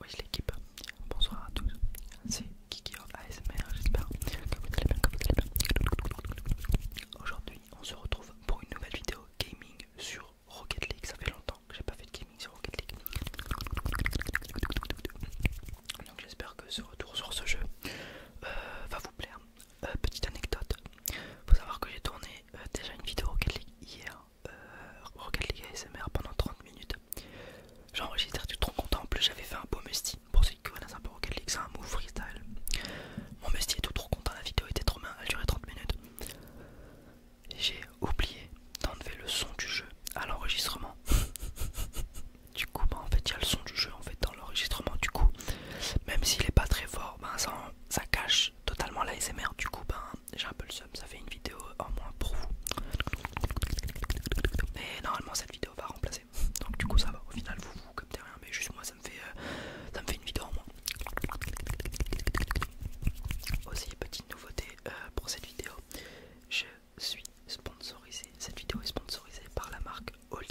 Oui, l'équipe, bonsoir à tous, c'est Kiki ASMR, j'espère que vous allez bien, allez bien. Aujourd'hui, on se retrouve pour une nouvelle vidéo gaming sur Rocket League. Ça fait longtemps que j'ai pas fait de gaming sur Rocket League. Donc, j'espère que ce retour sur ce jeu euh, va vous plaire. Euh, petite anecdote, faut savoir que j'ai tourné euh, déjà une vidéo Rocket League hier, euh, Rocket League ASMR pendant 30 minutes. J'enregistre, je suis trop content. En plus, j'avais fait un beau musti. Pour ceux qui connaissent un peu Rocket League, c'est un move freestyle. Mon musti est tout trop content, la vidéo était trop bien, elle durait 30 minutes. J'ai oublié d'enlever le son du jeu à l'enregistrement. du coup bah, en fait il y a le son du jeu en fait dans l'enregistrement du coup même s'il n'est pas très fort ben ça, ça cache totalement l'ASMR, du coup ben j'ai un peu le seum ça fait une vidéo en moins pour vous mais normalement cette vidéo va remplacer donc du coup ça va au final vous vous captez rien mais juste moi ça me fait euh, ça me fait une vidéo en moins aussi petite nouveauté euh, pour cette vidéo je suis sponsorisé. Cette vidéo est sponsorisée par la marque Oli.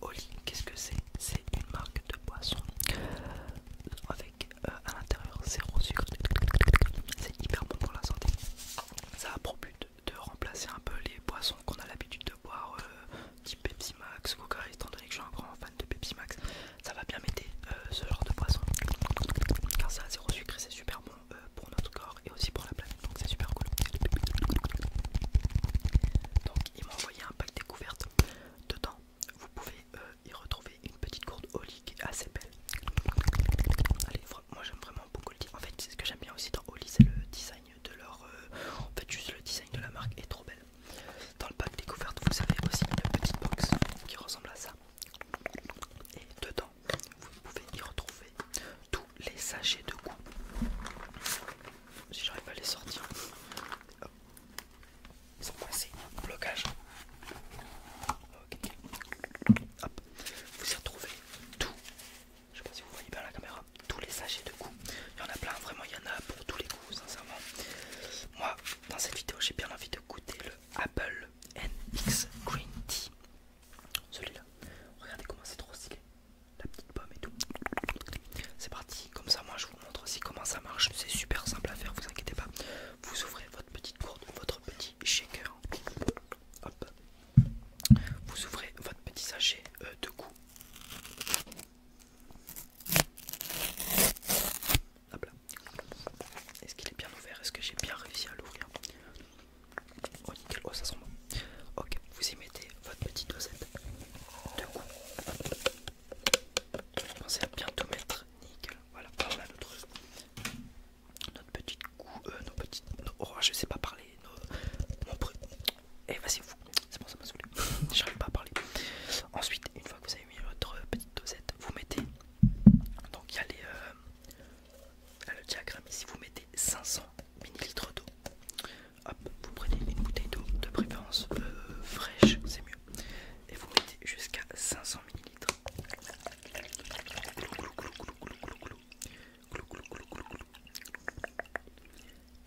Oli, qu'est-ce que c'est C'est une marque de boisson avec euh, à l'intérieur zéro sucre. C'est hyper bon pour la santé. Ça a pour but de remplacer un peu les boissons qu'on a l'habitude de boire, euh, type Pepsi Max, Coca, étant donné que je suis un grand fan de Pepsi Max. Ça va bien m'aider euh, ce genre de boisson car ça a zéro sucre et c'est super bon. Euh, pour notre corps et aussi pour la planète donc c'est super cool donc ils m'ont envoyé un pack découverte dedans vous pouvez euh, y retrouver une petite gourde Oli qui est assez belle allez moi j'aime vraiment beaucoup le en fait ce que j'aime bien aussi dans Oli c'est le design de leur euh, en fait juste le design de la marque est trop belle dans le pack découverte vous avez aussi une petite box qui ressemble à ça et dedans vous pouvez y retrouver tous les sachets de goût. Si j'arrive à les sortir, ils sont coincés au blocage. Vous y retrouvez tous, Je sais pas si vous voyez bien la caméra. Tous les sachets de goût. Il y en a plein, vraiment il y en a pour tous les goûts, sincèrement. Moi, dans cette vidéo, j'ai bien envie de goûter le Apple NX Green Tea. Celui-là. Regardez comment c'est trop stylé. La petite pomme et tout. C'est parti. Comme ça, moi, je vous montre aussi comment ça marche. C'est super simple à faire, vous inquiétez pas. Vous ouvrez votre petite gourde, votre petit shaker. Hop. Vous ouvrez votre petit sachet euh, de goût. Hop là. Est-ce qu'il est bien ouvert Est-ce que j'ai bien réussi à l'ouvrir Oh nickel, oh, ça sent bon. Ok, vous y mettez votre petite dosette de goût. Pensez à bientôt mettre, nickel. Voilà, notre, notre petite goût, euh, nos petites. je sais pas parler. mon bruit. Eh, vas-y, vous. C'est bon, ça m'a saoulé. J'arrive pas à parler. Ensuite, une fois que vous avez mis votre petite dosette, vous mettez. Donc, il y a euh, le diagramme ici, vous mettez 500 millilitres d'eau. Hop, vous prenez une bouteille d'eau de préférence euh, fraîche, c'est mieux. Et vous mettez jusqu'à 500 millilitres.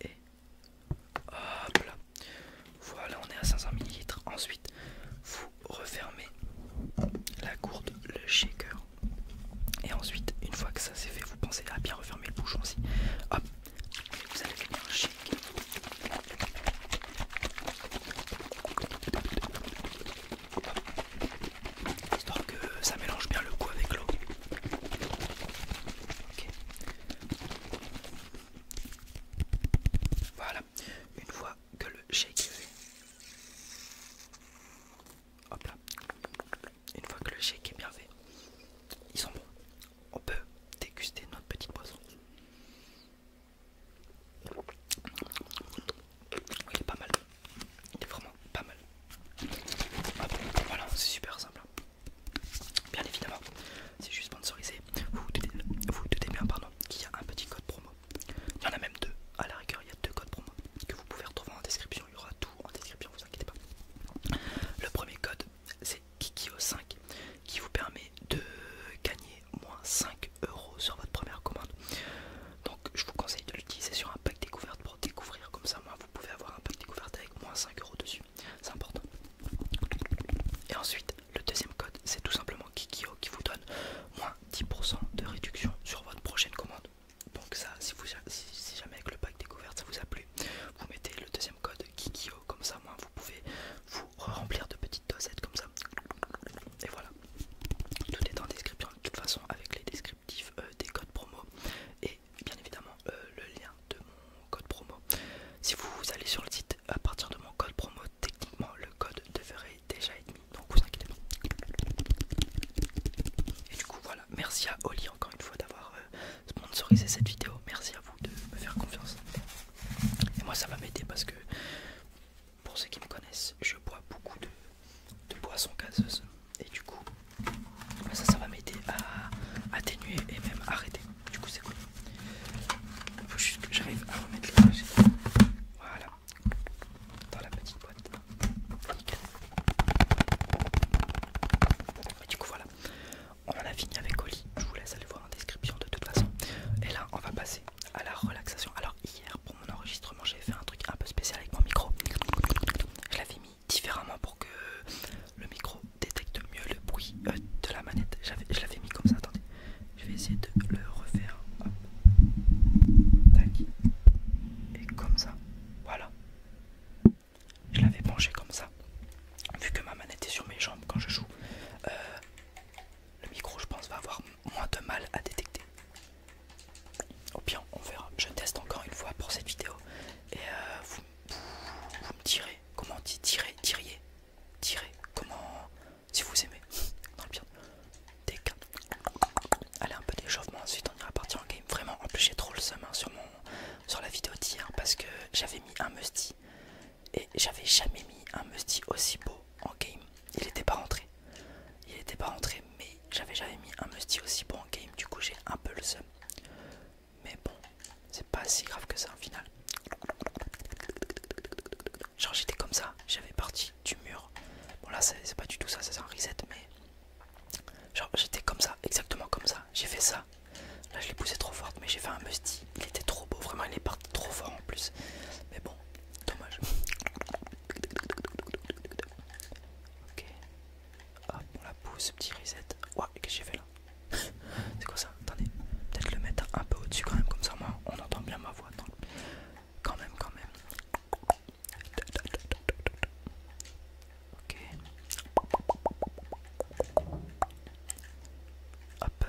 Et hop là. Voilà, on est à 500 millilitres. Ensuite, vous refermez la gourde, le shaker. Et ensuite, une fois que ça c'est fait, vous pensez à bien refermer le bouchon aussi. Hop, vous allez venir chic. Histoire que ça mélange bien le goût avec l'eau. Voilà, une fois que le shake est fait, Hop là. Une fois que le shake est bien fait, ils sont bons. On peut déguster notre petite boisson. Il est pas mal. Il est vraiment pas mal. voilà, c'est super simple. Bien évidemment, c'est juste sponsorisé. Vous vous doutez, bien, pardon, qu'il y a un petit code promo. Il y en a même deux. À la rigueur, il y a deux codes promo que vous pouvez retrouver en description. Il y aura en description, vous inquiétez pas. Le premier code c'est Kikio5 qui vous permet de gagner moins 5 euros sur votre première commande. Donc je vous conseille de l'utiliser sur un pack découverte pour découvrir comme ça vous pouvez avoir un pack découverte avec moins 5 euros dessus. C'est important. Et ensuite le deuxième code c'est tout simplement Kikio qui vous donne moins 10% de réduction sur votre prochaine commande donc ça si, jamais avec le pack découverte ça vous a plu vous mettez le deuxième code Kikio comme ça moi vous pouvez vous remplir de petites dosettes comme ça et voilà tout est en description de toute façon avec les descriptifs euh, des codes promo et bien évidemment euh, le lien de mon code promo si vous allez sur le site à partir de mon code promo techniquement le code devrait déjà être mis donc vous inquiétez pas. Et du coup voilà, merci à Oli encore une fois d'avoir euh, sponsorisé cette vidéo, merci à vous de me faire confiance. Et moi ça va m'aider parce que pour ceux qui me connaissent, je bois beaucoup de, boissons gazeuses et du coup bah, ça ça va m'aider à atténuer et même arrêter. Du coup c'est cool. Il faut juste que j'arrive à remettre les pages. Voilà. Dans la petite boîte du coup voilà, on en a fini avec Oli. Je vous laisse aller voir en description de toute façon. Et là on va passer à la relaxation. Alors hier pour mon enregistrement j'ai fait un truc un peu spécial avec mon micro. Je l'avais mis différemment pour que le micro détecte mieux le bruit euh, de la manette. Je l'avais mis comme ça, attendez. Je vais essayer de le refaire. Et comme ça. Voilà. Je l'avais penché comme ça. Vu que ma manette est sur mes jambes quand je joue, euh, le micro je pense va avoir moins de mal à détecter. Au bien, on verra. Je teste encore une fois pour cette vidéo. Et euh, vous, me direz comment on dit tirer, tirer, comment si vous aimez. Des Allez, un peu d'échauffement, ensuite on ira partir en game. Vraiment, en plus j'ai trop le seum hein, sur, mon... sur la vidéo d'hier parce que j'avais mis un musty et j'avais jamais mis un musty aussi beau en game. Il n'était pas rentré. Il était pas rentré, mais j'avais jamais mis un musty aussi beau en game. Du coup, j'ai un peu le seum. Mais bon, c'est pas si grave que ça au final. Genre, j'étais comme ça, j'avais parti du mur. Bon, là, c'est pas du tout ça, c'est un reset, mais Genre j'étais comme ça, exactement comme ça, j'ai fait ça. Là je l'ai poussé trop fort mais j'ai fait un musty, il était trop beau, vraiment il est parti trop fort en plus. Mais bon, dommage. Ok. on la pousse, petit reset. Ouah, qu'est-ce que j'ai fait là C'est quoi ça Attendez, peut-être le mettre un peu au-dessus quand même, comme ça moi on entend bien ma voix. Quand même, quand même. Ok. Hop.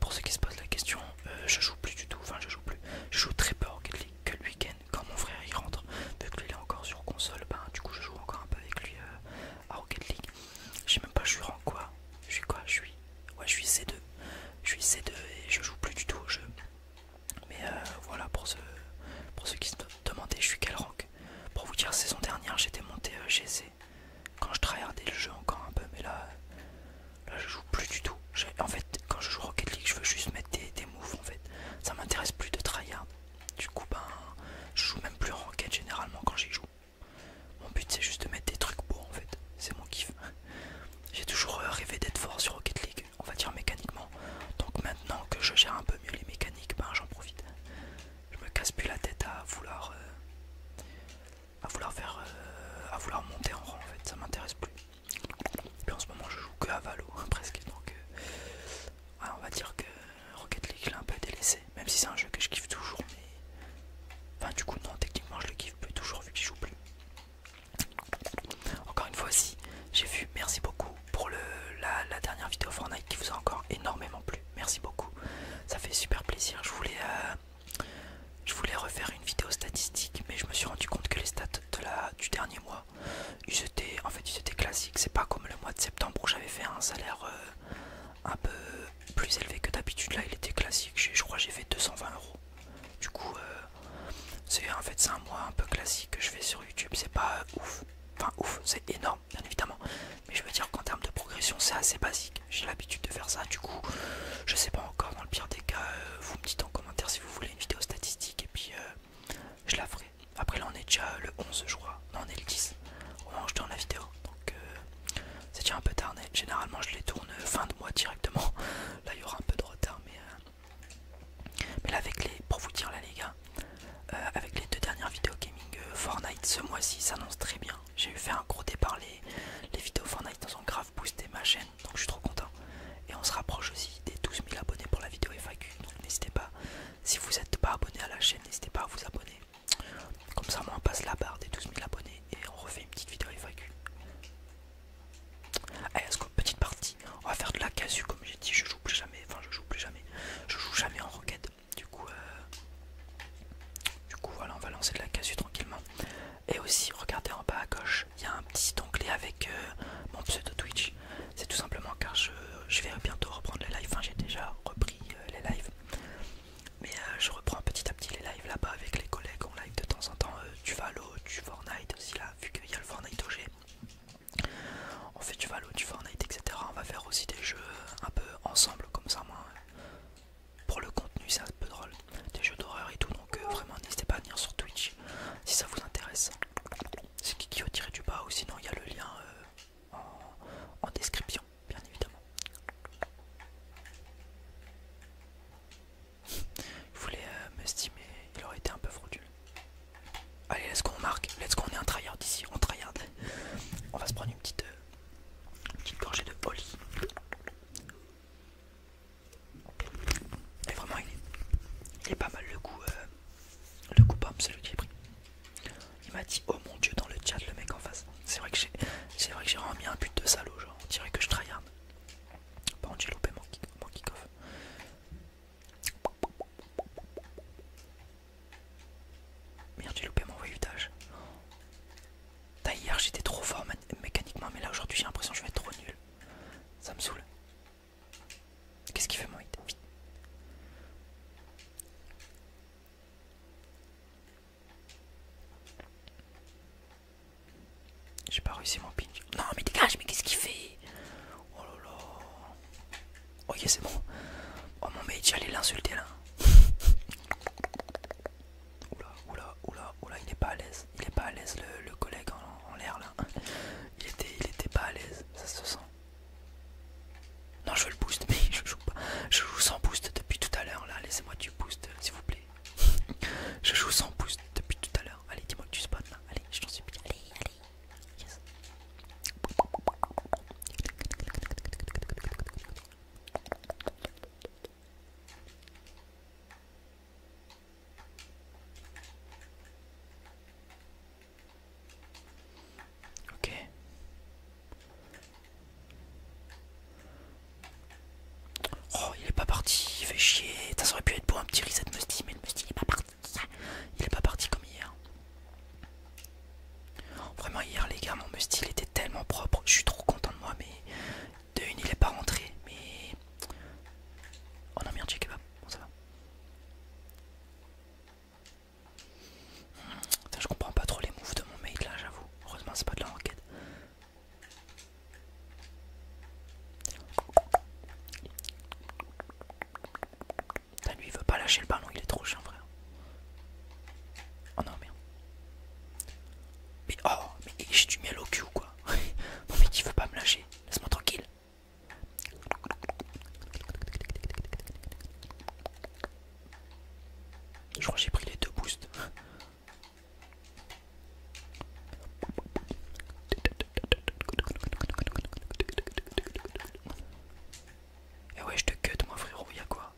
Pour ceux qui se posent la question, euh, je joue plus du tout. Enfin, je joue plus. Je joue très peu Rocket League que le week-end quand mon frère il rentre. Vu qu'il est encore sur console, ben du coup je joue encore un peu avec lui euh, à Rocket League. Je sais même pas, je suis en quoi Je suis quoi Je suis. Ouais, je suis C2. Je suis C2 et je joue plus du tout au jeu. Mais euh, voilà pour ceux, pour ceux qui se demandaient je suis quel rank. Pour vous dire saison dernière j'étais monté euh, GC quand je tryhardais le jeu encore un peu mais là je joue plus du tout. En fait quand je joue Rocket League je veux juste mettre des, des moves en fait. Ça m'intéresse plus de tryhard. Du coup ben, je joue même plus en généralement quand j'y joue. Mon but c'est juste de mettre des trucs beaux en fait. C'est mon kiff. J'ai toujours euh, rêvé d'être fort sur Rocket League on va dire mécaniquement. Donc maintenant que je gère un peu mieux les mécaniques, ben j'en profite. Je me casse plus la tête à vouloir, euh, à vouloir faire, euh, à vouloir monter en rang. En fait, ça m'intéresse plus. en ce moment, je joue que à Valo, hein, presque. Donc, euh, on va dire que Rocket League, l'a un peu délaissé. Même si c'est un jeu que je kiffe toujours, mais enfin du coup non, techniquement je le kiffe plus toujours vu que je joue plus. Encore une fois si j'ai vu, merci beaucoup pour la, dernière vidéo Fortnite qui vous a encore énormément plu. Merci beaucoup, ça fait super plaisir. Je voulais, euh, refaire une vidéo statistique, mais je me suis rendu compte que les stats du dernier mois, ils étaient, en fait, ils étaient classiques. C'est pas comme le mois de septembre où j'avais fait un salaire euh, un peu plus élevé que d'habitude. Là, il était classique. Je, crois crois j'ai fait 220 euros. Du coup, euh, c'est en fait c'est un mois un peu classique que je fais sur YouTube, c'est pas euh, ouf, enfin ouf, c'est énorme bien évidemment, mais je veux dire qu'en termes de progression c'est assez basique, j'ai l'habitude de faire ça, du coup je sais pas encore, dans le pire des cas, euh, vous me dites en commentaire si vous voulez une vidéo statistique et puis euh, je la ferai. Après là on est déjà le 11 je crois, non on est le 10 au moment où je tourne la vidéo, donc c'est déjà un peu tarné, généralement je les tourne fin de mois directement, là il y aura un peu de retard mais... Mais là avec les. pour vous dire là les gars, euh, avec les deux dernières vidéos gaming euh, Fortnite ce mois-ci s'annonce très bien. J'ai fait un gros départ les, vidéos Fortnite dans ont grave boosté ma chaîne, donc je suis trop content. Et on se rapproche aussi des 12 000 abonnés pour la vidéo FAQ, donc n'hésitez pas, si vous n'êtes pas abonné à la chaîne, n'hésitez pas à vous abonner. Comme ça moi on passe la barre des 12 000 abonnés et on refait une petite vidéo FAQ. Allez, eh, let's petite partie. On va faire de la casu comme j'ai dit. Je joue plus jamais. Enfin, je joue plus jamais. Je joue jamais en roquette. Du coup, euh, du coup, voilà, on va lancer de la casu tranquillement. Et aussi, regardez en bas à gauche, il y a un petit onglet avec euh, mon pseudo Twitch. C'est tout simplement car je, vais bientôt reprendre les lives. Enfin, j'ai déjà repris euh, les lives. Mais je reprends petit à petit les lives là-bas avec les collègues en live de temps en temps. du Valo, du Fortnite aussi là, vu qu'il y a le Fortnite OG. On fait du Valo, du Fortnite, etc. On va faire aussi des jeux un peu ensemble, comme ça, moi. Pour le contenu, c'est un peu drôle. Des jeux d'horreur et tout, donc euh, vraiment, n'hésitez pas à venir sur Twitch si ça vous intéresse. C'est Kiki au tiré du bas, ou sinon, il y a le lien euh, en description, bien évidemment. Il voulais euh, me il aurait été un peu frauduleux. Allez, laisse ce qu'on marque. Let's go, on est un tryhard ici, on tryhard. On va se prendre une petite, euh, gorgée de poli. mais vraiment, il est, il est pas mal le coup, euh, le coup pomme, le qui est pris. Il m'a dit, oh mon dieu, dans le chat, le mec en face. C'est vrai que j'ai c'est vrai remis un but de salaud, genre, on dirait que je tryhard. Bon, j'ai loupé mon kick-off. kick Merde, j'ai loupé mon voyage. Hier j'étais trop fort mécaniquement, mais là aujourd'hui j'ai l'impression que je vais être trop nul. Ça me saoule. Qu'est-ce qu'il fait mon j'ai pas réussi mon ping. Non mais dégage, mais qu'est-ce qu'il fait Oh la la, ok c'est bon. Oh mon mage, j'allais l'insulter là. oula, oula, oula, oula, il est pas à l'aise. Il est pas à l'aise le, collègue en, l'air là. Il était, il était pas à l'aise, ça se sent. Non, je veux le boost, mais je joue pas. Je joue sans boost depuis tout à l'heure là. Laissez-moi du boost, s'il vous plaît. je joue sans boost depuis tout à l'heure. Allez, dis-moi que tu spawns là. Allez, je t'en supplie. Allez, allez. Ok. Oh, il est pas parti, il fait chier. Ça aurait pu être beau un petit reset Musty, mais le Musty il est pas parti. Il est pas parti comme hier. Vraiment, hier, les gars, mon Musty il était tellement propre. Je suis trop content de moi, mais de une, il est pas rentré. Mais. Oh non, merde, j'ai Bon, ça va. je comprends pas trop les moves de mon mate là, j'avoue. Heureusement, c'est pas de la enquête ça lui il veut pas lâcher le ballon, il est trop chiant frère. Oh non merde. Mais oh, mais j'ai du miel au cul ou quoi Non mais il veut pas me lâcher, laisse-moi tranquille. Je crois que j'ai pris les deux boosts. Et eh ouais, je te cut, moi frérot, a quoi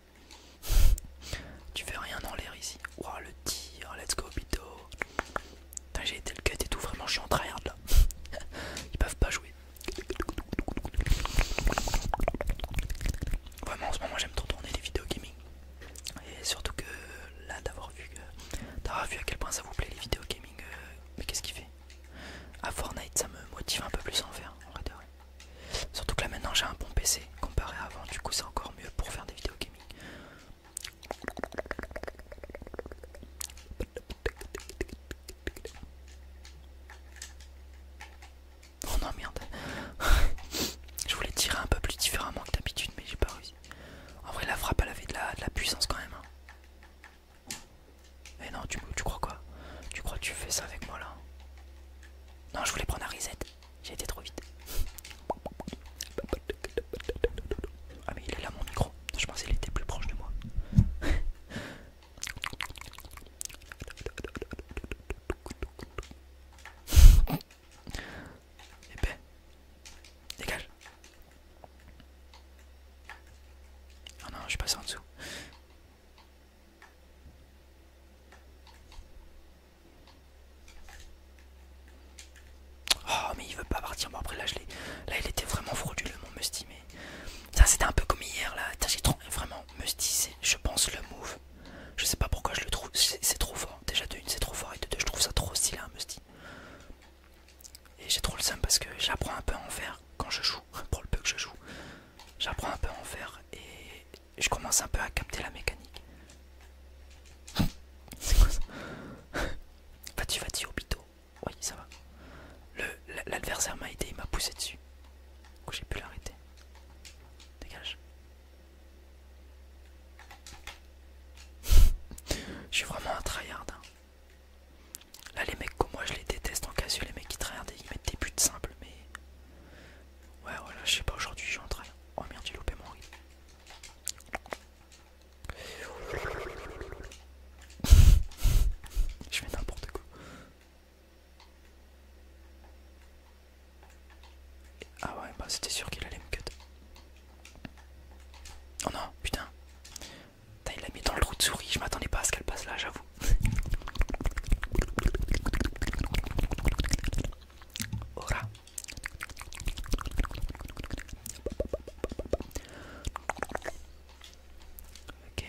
Tu fais rien en l'air ici. Ouah, le tir, let's go, Bito. j'ai été le cut et tout, vraiment, je suis en tryhard là. Ils peuvent pas jouer. Vraiment, en ce moment, j'aime trop tourner les vidéos gaming. Et surtout que là d'avoir vu, euh, vu à quel point ça vous plaît les vidéos gaming. Euh, mais qu'est-ce qu'il fait À Fortnite, ça me motive un peu plus en faire, en Surtout que là maintenant j'ai un bon PC comparé à avant, du coup c'est encore mieux pour faire des vidéos gaming. Oh non merde Je voulais tirer un peu plus différemment que d'habitude mais j'ai pas réussi. En vrai, la frappe, avait de la, de la puissance quand même. Mais hein. eh non, tu, tu crois quoi Tu crois que tu fais ça avec moi là Non, je voulais prendre un reset. J'ai été trop vite. Ah, mais il est là mon micro. Je pensais qu'il était plus proche de moi. Épais. Dégage. Oh non, je suis passé en dessous. Oh mais il veut pas partir. Bon après là je Là il était vraiment frauduleux mon Musty mais. Ça c'était un peu comme hier là. J'ai trop vraiment Musty c'est je pense le move. Je sais pas pourquoi je le trouve. C'est trop fort. Déjà de une c'est trop fort et de deux je trouve ça trop stylé un Musty. Et j'ai trop le seum parce que j'apprends un peu à en faire quand je joue, pour le peu que je joue. J'apprends un peu à en faire et je commence un peu à capter la mécanique. C'est quoi ça Vas-tu, vas-tu, Oui, ça va. L'adversaire m'a aidé, il m'a poussé dessus. j'ai pu l'arrêter. Dégage. Je suis vraiment un tryhard. Hein. Là, les mecs comme moi, je les déteste en casu, Les mecs qui tryhardent, ils mettent des buts simples, mais. Ouais, voilà, je sais pas, aujourd'hui, je un tryhard. Oh merde, j'ai loupé mon je fais n'importe quoi. Ah ouais, bah c'était sûr qu'il allait me cut. Oh non, putain. il l'a mis dans le trou de souris. Je m'attendais pas à ce qu'elle passe là, j'avoue. Ora. Oh ok.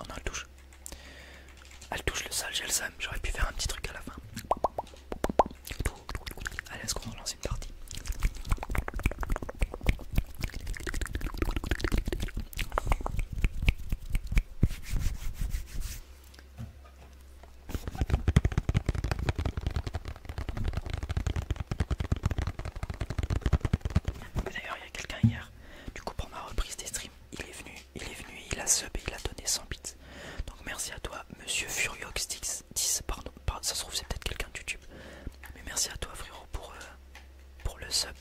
Oh On elle touche. Elle touche le sale, j'ai le J'aurais pu faire un petit truc à la fin. Allez, est-ce qu'on relance une partie D'ailleurs, il y a quelqu'un hier, du coup, pour ma reprise des streams, il est venu, il est venu, il a sub et il a donné 100 bits. Donc merci à toi, monsieur Furiox 10, pardon, pardon, ça se trouve, c'est peut-être quelqu'un de YouTube. Mais merci à toi, frérot, pour, euh, pour le sub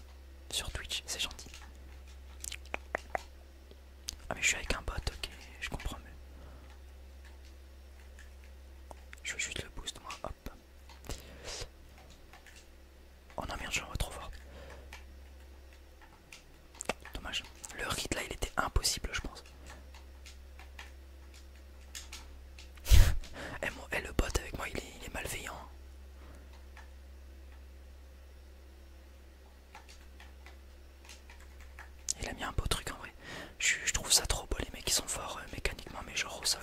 sur Twitch, c'est gentil. Ah, mais je suis avec un bot, ok, je comprends mieux. Je veux juste le boost, moi, on Oh non merde, je trop fort. Dommage. Le rite là, il était impossible, je pense. et, eh, eh, le bot avec moi, il est, malveillant. Hein. Il a mis un beau truc en vrai. Je, trouve ça trop beau, les mecs, ils sont forts euh, mécaniquement, mais genre au sol.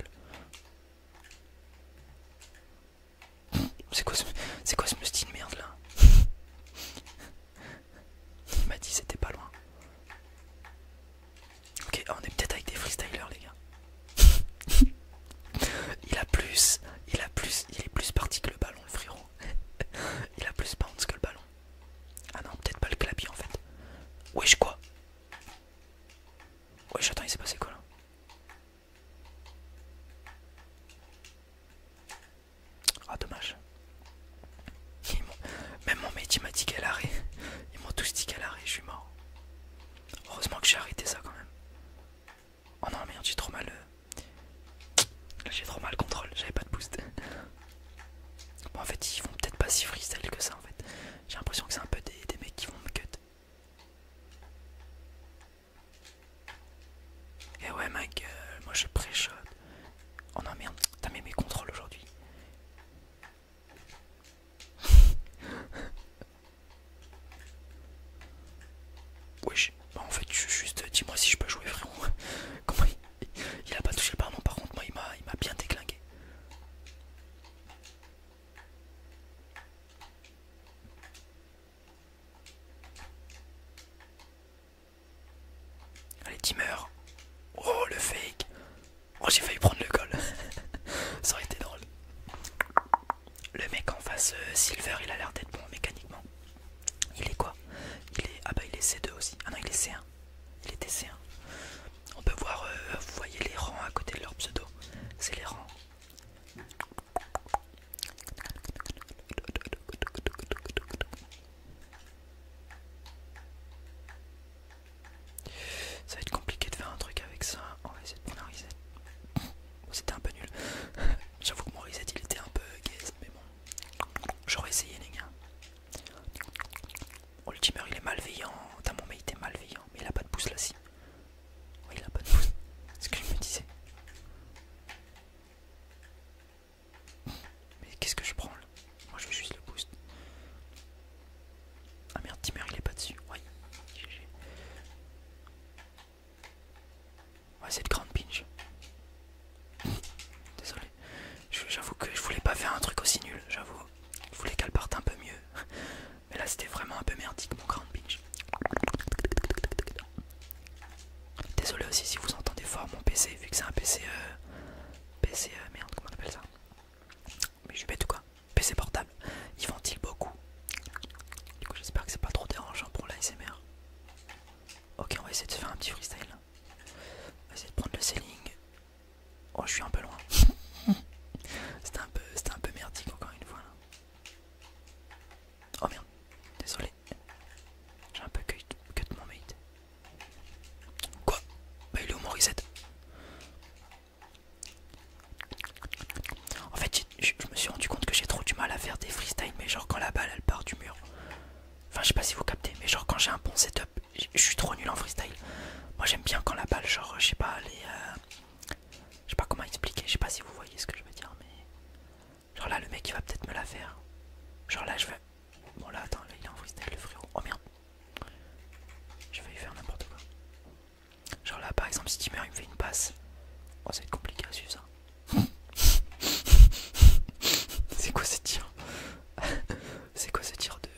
C'est quoi, ce... quoi ce musty de merde là Il m'a dit c'était pas loin. Ok, on est peut-être avec des freestylers les gars. il a plus, il a plus, il est plus parti que le ballon le frérot. il a plus bounce que le ballon. Ah non, peut-être pas le clapis en fait. Wesh quoi Ouais, j'attends, il s'est passé quoi là Ah, dommage. Même mon métier m'a dit qu'à l'arrêt. Ils m'ont tous dit qu'à l'arrêt, je suis mort. Heureusement que j'ai arrêté ça quand même. Oh non, merde, j'ai trop mal. Là, euh, j'ai trop mal contrôle, j'avais pas de boost. Bon, en fait, ils vont peut-être pas si freestyle que ça en fait. J'ai l'impression que c'est un peu des, mecs qui vont me cut. Et eh ouais ma gueule, moi je pré-shot. Oh non merde, t'as mis mes contrôles aujourd'hui. Wesh, bah en fait juste dis-moi si je peux jouer frérot. Comment il, a pas touché le ballon par contre moi il m'a bien déclingué. Allez, Timur Oh, le fake. Oh, j'ai failli prendre le col. Ça aurait été drôle. Le mec en face, euh, Silver, il a l'air d'être bon mécaniquement. Il est quoi Il est. Ah bah, il est C2 aussi. Ah non, il est C1. Il était C1. On peut voir, euh, vous voyez les rangs à côté de leur pseudo. C'est les rangs. Ça va être compliqué de faire un truc avec ça. On va essayer de prendre un oh, C'était un peu nul. J'avoue que mon reset il était un peu gaze, mais bon. J'aurais essayé les gars. Oh, le il est malveillant. Putain, mon il est malveillant. Mais il a pas de boost là, si. Oui, il a pas de boost. C'est ce que je me disais. Mais qu'est-ce que je prends là Moi je veux juste le boost. Ah merde, Timmer il est pas dessus. Ouais, Ouais, c'est le grand pinch. Désolé. J'avoue que je voulais pas faire un truc aussi nul, j'avoue. Je voulais qu'elle parte un peu mieux. Mais là c'était vraiment un peu merdique mon Grand Beach. Désolé aussi si vous entendez fort mon PC vu que c'est un PC... Euh, PC... Euh, merde comment on appelle ça Mais je suis bête ou quoi PC portable. il ventile beaucoup. Du coup j'espère que c'est pas trop dérangeant pour l'ASMR. Ok on va essayer de faire un petit freestyle. On de prendre le ceiling. Oh, je suis un peu loin. C'était un, un peu merdique encore une fois. Oh merde, désolé. J'ai un peu cut, mon mate. Quoi Bah il est mon reset En fait, je me suis rendu compte que j'ai trop du mal à faire des freestyle, mais genre quand la balle elle part du mur. Enfin, je sais pas si vous captez, mais genre quand j'ai un bon setup, je suis trop nul en freestyle. Moi j'aime bien quand la balle, genre, je sais pas, les. Euh, je sais pas comment expliquer, je sais pas si vous voyez ce que je veux dire, mais. Genre là, le mec il va peut-être me la faire. Genre là, je vais. Bon là, attends, il est en freestyle, le frérot. Oh merde. Je vais lui faire n'importe quoi. Genre là, par exemple, si Steamer il me fait une passe. Oh, ça va être compliqué à suivre ça. C'est quoi ce tir C'est quoi ce tir de,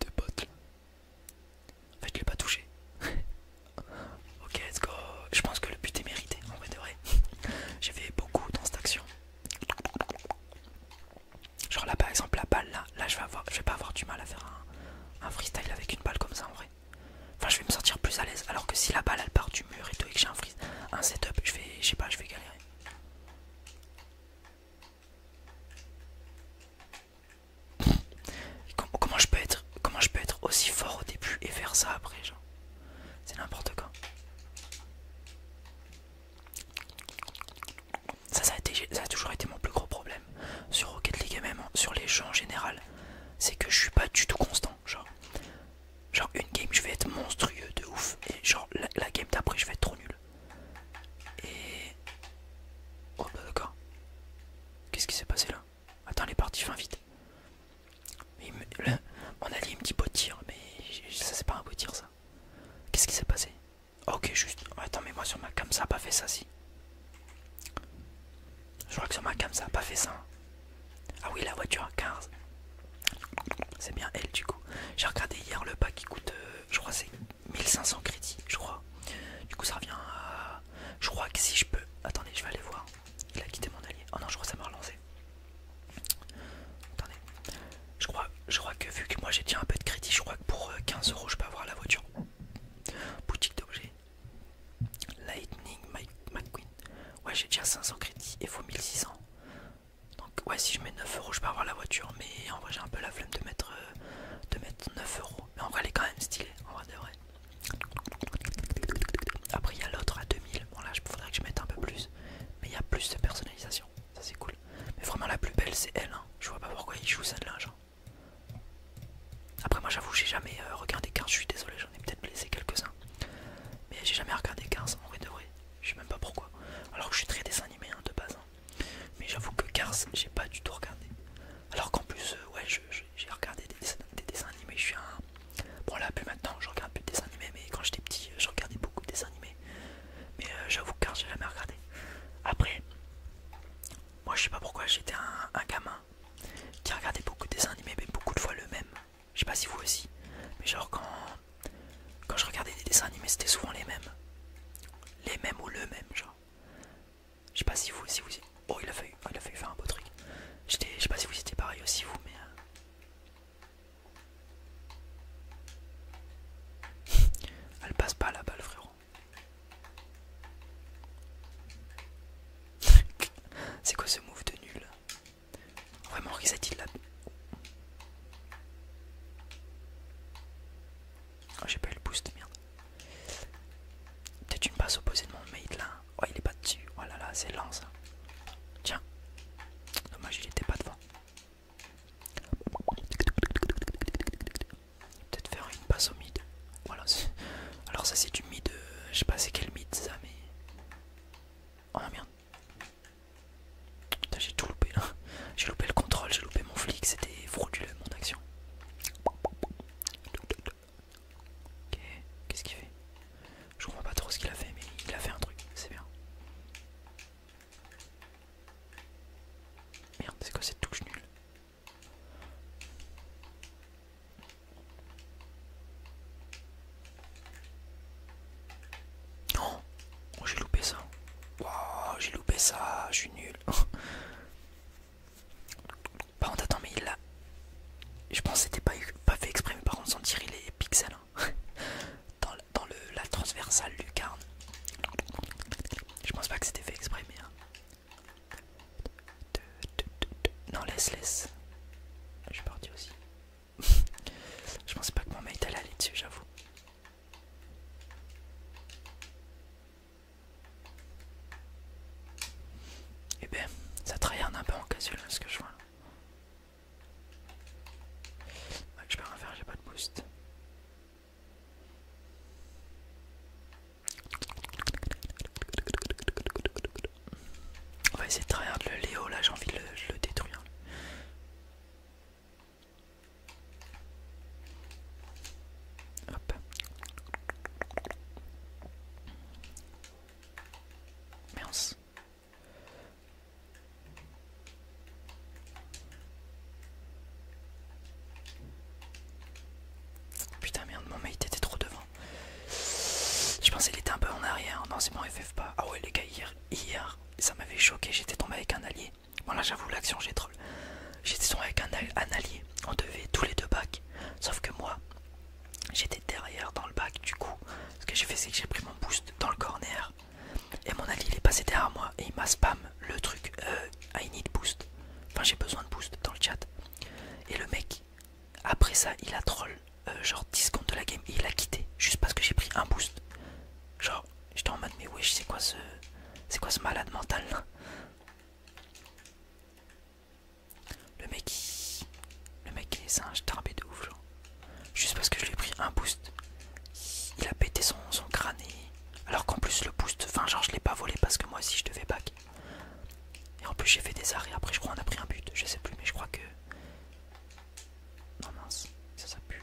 de en fait je l'ai pas touché. ok, let's go. Je pense que le but est mérité, en vrai de vrai. J'ai fait beaucoup dans cette action. Genre là par exemple, la balle là, là je vais, je vais pas avoir du mal à faire un, freestyle avec une balle comme ça en vrai. Enfin, je vais me sentir plus à l'aise. Alors que si la balle elle part du mur et tout et que j'ai un, un setup, je vais, je sais pas, je vais galérer comment, je peux être, aussi fort au début et faire ça après genre C'est n'importe quoi. Ça, a, toujours été mon plus gros problème sur Rocket League même sur les jeux en général. C'est que je suis pas du tout constant. Genre, genre une game, je vais être monstrueux de ouf. Et genre, la, la game d'après, je vais être trop nul. Et... Oh bah, d'accord. Qu'est-ce qui s'est passé là Attends, les parties fin vite. on mon allié me dit beau tir, mais ça c'est pas un beau tir ça. Qu'est-ce qui s'est passé Ok, juste... Attends, mais moi sur ma cam ça a pas fait ça si. Je crois que sur ma cam ça a pas fait ça. Hein. Ah oui, la voiture à 15. C'est bien elle du coup. J'ai regardé hier le pack qui coûte euh, je crois c'est 1500 crédits, je crois. Du coup, ça revient à. Je crois que si je peux. Attendez, je vais aller voir. Il a quitté mon allié. Oh non, je crois que ça m'a relancé. Attendez. Je crois, je crois que vu que moi j'ai déjà un peu de crédit, je crois que pour 15 euh, euros je peux avoir la voiture. Boutique d'objets. Lightning McQueen. Ouais, j'ai déjà 500 crédits et faut 1600. Donc, ouais, si je mets 9 euros, je peux avoir la voiture. Mais en vrai, j'ai un peu la flemme de mettre euh, de mettre 9 euros. Mais en vrai, elle est quand même stylée. En vrai, de vrai. Après, il y a l'autre à 2000. Bon, là, il faudrait que je mette un peu plus. Mais il y a plus de personnalisation. Ça, c'est cool. Mais vraiment, la plus belle, c'est elle. Hein. Je vois pas pourquoi ils jouent celle-là. Hein. Après, moi, j'avoue, j'ai jamais euh, regardé 15. Je suis désolé, j'en ai peut-être blessé quelques-uns. Mais j'ai jamais regardé 15 en vrai de vrai. Je sais même pas pourquoi. Alors que je suis très désanimé hein, de base. Mais j'avoue que Cars, j'ai pas du tout regardé. Alors qu'en plus, euh, ouais, j'ai regardé des dessins, animés. Je suis un. Bon, là, plus maintenant, je regarde plus de dessins animés, mais quand j'étais petit, je regardais beaucoup de dessins animés. Mais euh, j'avoue que Cars, j'ai jamais regardé. Après, moi, je sais pas pourquoi, j'étais un, gamin qui regardait beaucoup de dessins animés, mais beaucoup de fois le même. Je sais pas si vous aussi, mais genre quand, quand je regardais des dessins animés, c'était souvent les mêmes les mêmes ou le même, genre. Je sais pas si vous, si vous. Oh, il a failli, il a fait faire un beau truc. Je sais pas si vous étiez pareil aussi, vous, mais. Euh. Elle passe pas la balle, frérot. C'est quoi ce move de nul Vraiment, reset il l'a. Oh, j'ai pas eu le boost, merde. Peut-être une passe opposée de mon mate là. Oh, il est pas dessus. Oh là là, c'est lent ça. Tiens. Dommage, il était pas devant. Peut-être faire une passe au mid. Voilà. Alors, ça, c'est du mid. Euh, je sais pas c'est quel mid ça, mais. Oh merde. Putain, j'ai tout loupé là. J'ai loupé le contrôle, j'ai loupé mon flic, c'était frauduleux mon action. Ok, qu'est-ce qu'il fait Je comprends pas trop ce qu'il a fait, mais il a fait un truc, c'est bien. Merde, c'est quoi cette touche nulle Oh, j'ai loupé ça. j'ai loupé ça, je suis nul. par contre, attends, mais il l'a. Je pense que c'était pas, pas fait exprimer par contre, sans tirer les pixels. Hein. dans, le, la transversale lucarne. Je pense pas que c'était fait exprimer. Hein. Non, laisse, laisse. Je suis parti aussi. je pensais pas que mon mail allait aller dessus, j'avoue. Et eh ben, ça tryhard un peu en casual hein, ce que je vois là. je peux rien faire, j'ai pas de boost. On va essayer de tryhard le Léo là, j'ai envie de le détruire. Hop. Putain merde, mon mate était trop devant. Je pensais qu'il était un peu en arrière. Non, c'est mon FF pas. Ah ouais les gars, hier ça m'avait choqué. J'étais tombé avec un allié. Voilà, j'avoue, l'action, j'ai troll. J'étais avec un, allié, on devait tous les deux bacs. Sauf que moi, j'étais derrière dans le bac. Du coup, ce que j'ai fait, c'est que j'ai pris mon boost dans le corner. Et mon allié, il est passé derrière moi et il m'a spam le truc euh, I need boost. Enfin, j'ai besoin de boost dans le chat. Et le mec, après ça, il a troll euh, genre 10 secondes de la game il a quitté juste parce que j'ai pris un boost. Genre, J'étais en mode mais wesh c'est quoi ce. C'est quoi ce malade mental là Le mec il... Le mec il est singe tarbé de ouf genre. Juste parce que je lui ai pris un boost. Il a pété son, son crâne Alors qu'en plus le boost, enfin genre je l'ai pas volé parce que moi aussi je devais back. Et en plus j'ai fait des arrêts, après je crois on a pris un but, je sais plus mais je crois que... Non mince, ça ça pue.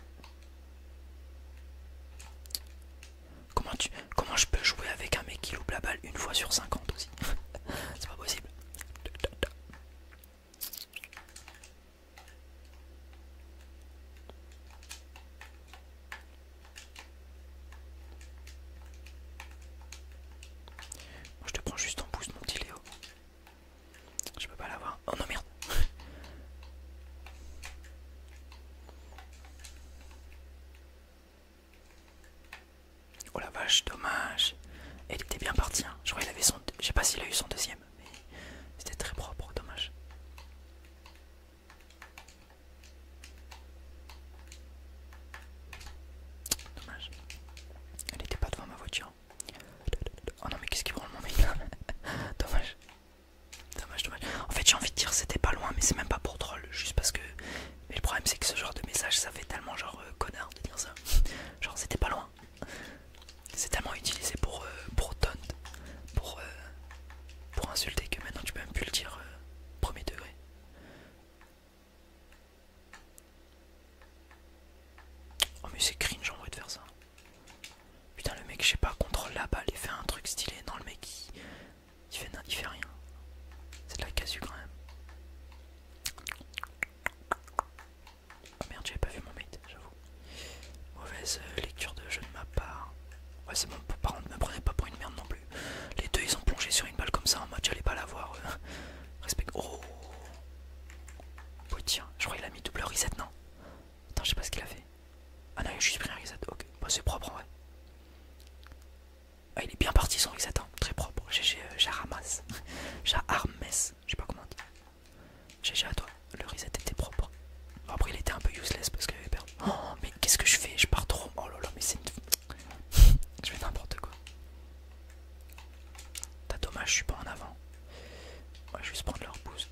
Comment, tu, comment je peux jouer avec un mec qui loupe la balle une fois sur 50 aussi C'est pas possible. je te prends juste en pouce, mon petit Léo. Je peux pas l'avoir. Oh non, merde. Oh la vache, dommage. Elle était bien partie. Hein. Je crois qu'il avait son. Je sais pas s'il a eu son deuxième, mais c'était très propre, dommage. Dommage. Elle était pas devant ma voiture. Oh non mais qu'est-ce qui branle mon moment Dommage. Dommage, dommage. En fait, j'ai envie de dire c'était pas loin, mais c'est même pas pour troll, juste parce que. Mais le problème, c'est que ce genre de message, ça fait tellement genre euh, connard de dire ça. genre, c'était pas loin. C'est tellement utilisé pour, euh, pour taunt, pour, euh, pour insulter que maintenant tu peux même plus le dire premier degré. Oh mais c'est cringe en vrai de faire ça. Putain le mec je sais pas contrôle la balle et fait un truc stylé Non le mec il, fait, fait rien C'est de la casu quand même Oh merde j'avais pas vu mon mate j'avoue Mauvaise euh, lecture de jeu de ma part Ouais c'est bon par contre ne me prenez pas pour une merde non plus Les deux ils ont plongé sur une balle comme ça en mode j'allais pas la voir euh. Respect Oh Oh tiens je crois qu'il a mis double reset non Attends je sais pas ce qu'il a fait ah non, il a juste pris un reset. Ok, bah, c'est propre en vrai. Ah, il est bien parti son reset, hein. très propre. GG, ramasse, j'ai euh, je sais pas comment dire, GG à toi, le reset était propre. après, il était un peu useless parce qu'il avait perdu. Oh, mais qu'est-ce que je fais Je pars trop. Oh là mais c'est une. je fais n'importe quoi. T'as dommage, je suis pas en avant. je vais juste prendre leur boost.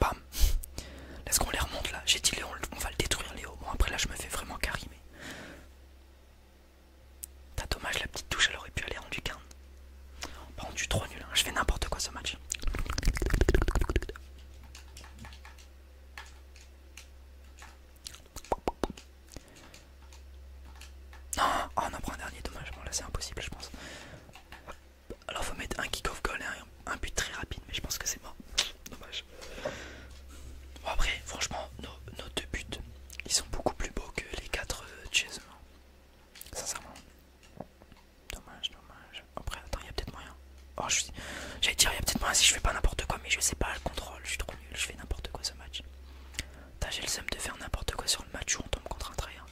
Bam Est-ce qu'on les remonte là. J'ai dit on va le détruire Léo. Bon après là je me fais vraiment carimer T'as dommage la petite touche elle aurait pu aller en du Par contre bah, je trop nul, hein. je fais n'importe quoi ce match. Non, oh, on en prend un dernier, dommage, bon là c'est impossible je pense. Alors faut mettre un kick-off goal un, but très rapide, mais je pense que c'est mort. Dommage. Bon après, franchement, nos, deux buts, ils sont beaucoup plus beaux que les quatre euh, de hein. Sincèrement. Dommage, dommage. Après, attends, il y a peut-être moyen. Oh, je J'allais dire, il y a peut-être moyen si je fais pas n'importe quoi, mais je sais pas, le contrôle, je suis trop nul, je fais n'importe quoi ce match. T'as j'ai le seum de faire n'importe quoi sur le match où on tombe contre un tryhard,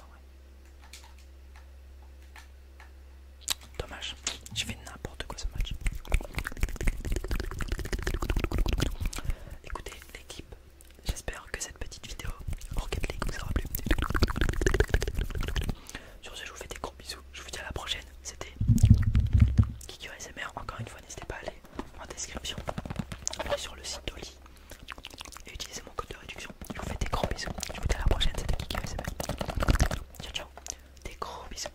Dommage, je fais n'importe quoi ce match. Écoutez, l'équipe J'espère que cette petite vidéo Rocket League vous aura plu. Sur ce, je vous fais des gros bisous. Je vous dis à la prochaine. C'était Kikyo Encore une fois, n'hésitez pas à aller en description sur le site d'Oli et utilisez mon code de réduction. Je vous fais des gros bisous. Je vous dis à la prochaine. C'était Kikyo SMR. Ciao, ciao. Des gros bisous.